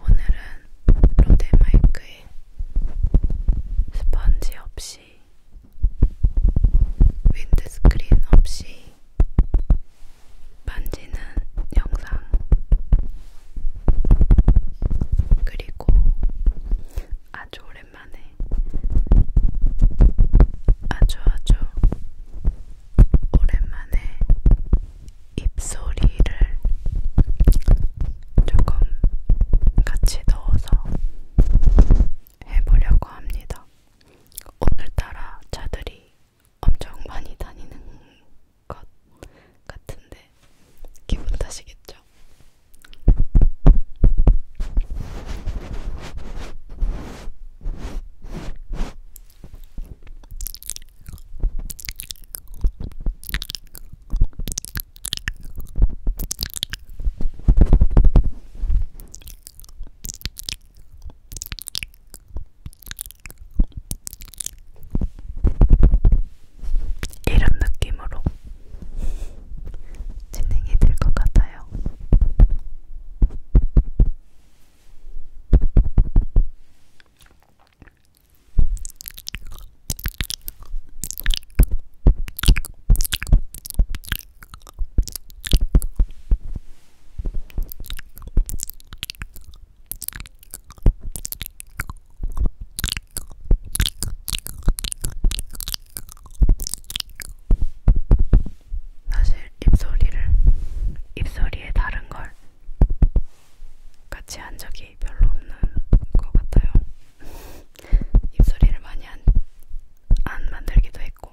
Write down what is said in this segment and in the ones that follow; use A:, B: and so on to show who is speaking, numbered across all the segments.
A: 오늘은 로데 마이크에 스펀지 없이 윈드스크린 없이 반지는 영상 그리고 아주 오랜만에 아주 아주 오랜만에 입소리를 조금 같이 넣어서 해보려고 합니다. 오늘따라 차들이 엄청 많이 다니는 것 같은데 기분 탓이겠죠? 이런 느낌으로 진행이 될 것 같아요. 사실 입소리를 입소리에 다른 걸 같이 한 적이 별로 없는 것 같아요. 입소리를 많이 안, 안 만들기도 했고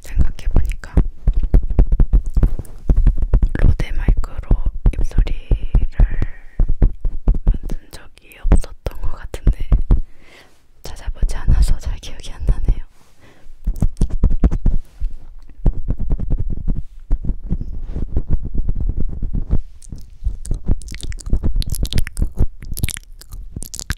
A: 생각해보니까 로데 마이크로 입소리를 만든 적이 없었던 것 같은데 찾아보지 않아서 잘 기억이 안 나네요.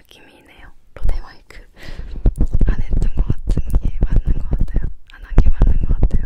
A: 느낌이네요. 로데마이크 안 했던 것 같은 게 맞는 것 같아요. 안 한 게 맞는 것 같아요.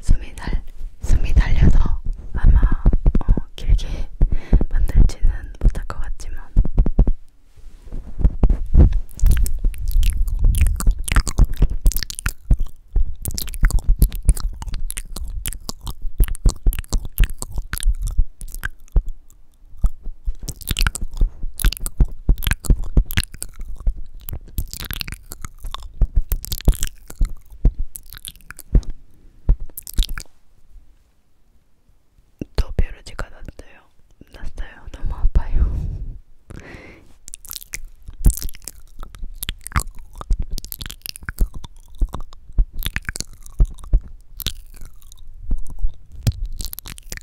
A: 숨이 달 숨이 달려서 아마 어, 길게 만들지는 못할 것 같지만 또 뾰루지가 났어요. 났어요. 너무 아파요.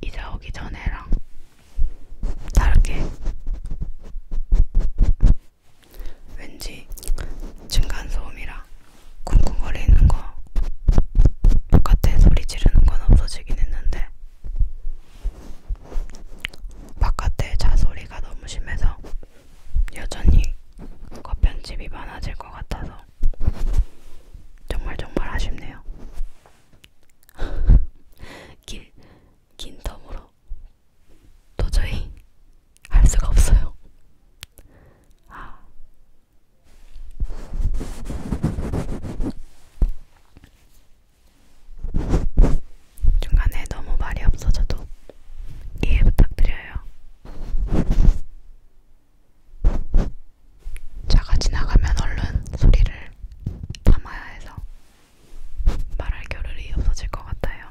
A: 이사 오기 전에랑 다르게 왠지 중간 소음이라 쿵쿵거리는 거 똑같은 소리 지르는 건 없어지긴 했는데 바깥에 자소리가 너무 심해서 여전히 그 편집이 많아질 것 같아서 정말 정말 아쉽네요. 길, 긴 텀으로 도저히 할 수가 없어요. 아. 중간에 너무 말이 없어져도 이해 부탁드려요. 차가 지나가면 얼른 소리를 담아야 해서 말할 겨를이 없어질 것 같아요.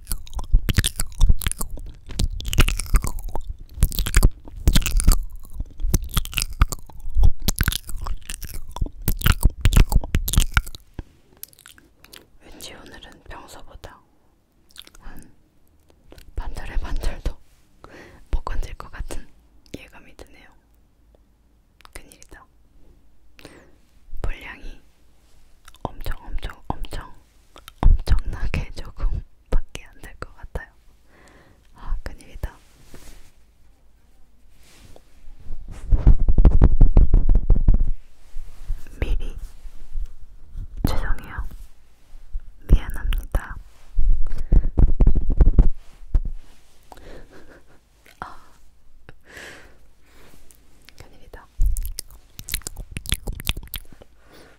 A: 왠지 오늘은 평소보다 한 반절의 반절도 못 건질 것 같은 예감이 드네요. 큰일이다. 분량이 엄청 엄청 엄청 엄청나게 조금밖에 안 될 것 같아요. 아 큰일이다. 미리 죄송해요. 미안합니다. 아, 큰일이다.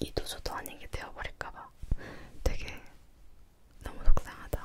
A: 이도저도 아니게 되어버릴까봐 되게 너무 속상하다.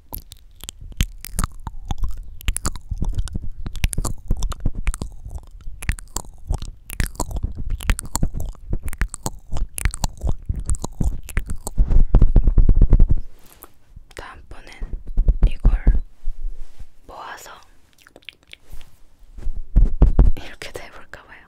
A: 다음번엔 이걸 모아서 이렇게도 해볼까봐요.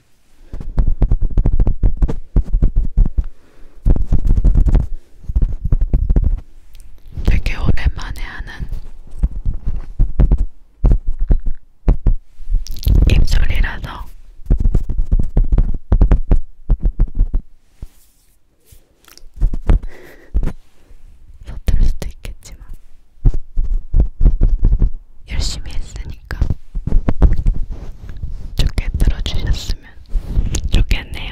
A: 되게 오랜만에 하는 입술이라서 서툴 수도 있겠지만 열심히 했으니까. 테니까 좋게 들어주셨으면 좋겠네요.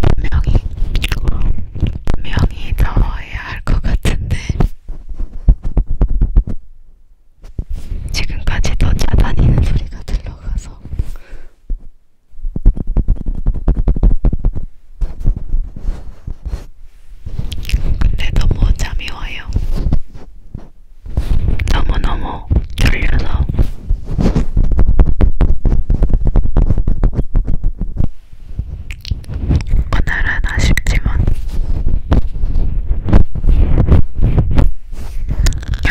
A: 분명히 분명히 더워야 할 것 같은데 지금까지도 차다니는 소리가 들려가서 근데 너무 잠이 와요. 너무너무 졸려서. 오늘은 아쉽지만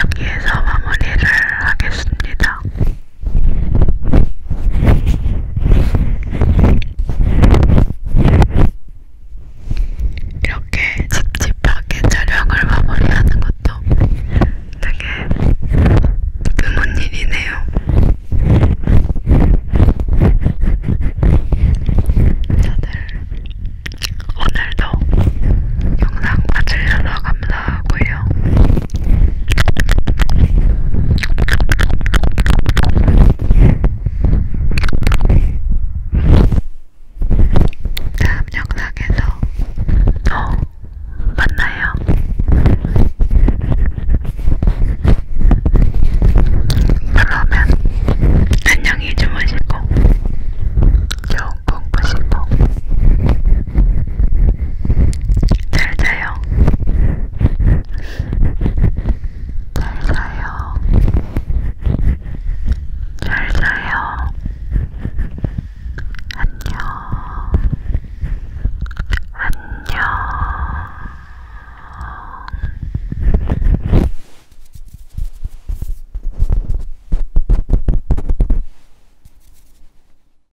A: 여기에서 마무리를 하겠습니다. 이렇게 찝찝하게 촬영을 마무리하는 것도 되게 드문 일이네요. 다들 오늘도 영상 봐주셔서 감사하고요. 다음 영상에서 또 만나요. 그러면 안녕히 주무시고 좋은 꿈 꾸시고 잘 자요. 잘 자요. 잘 자요. 안녕. 안녕.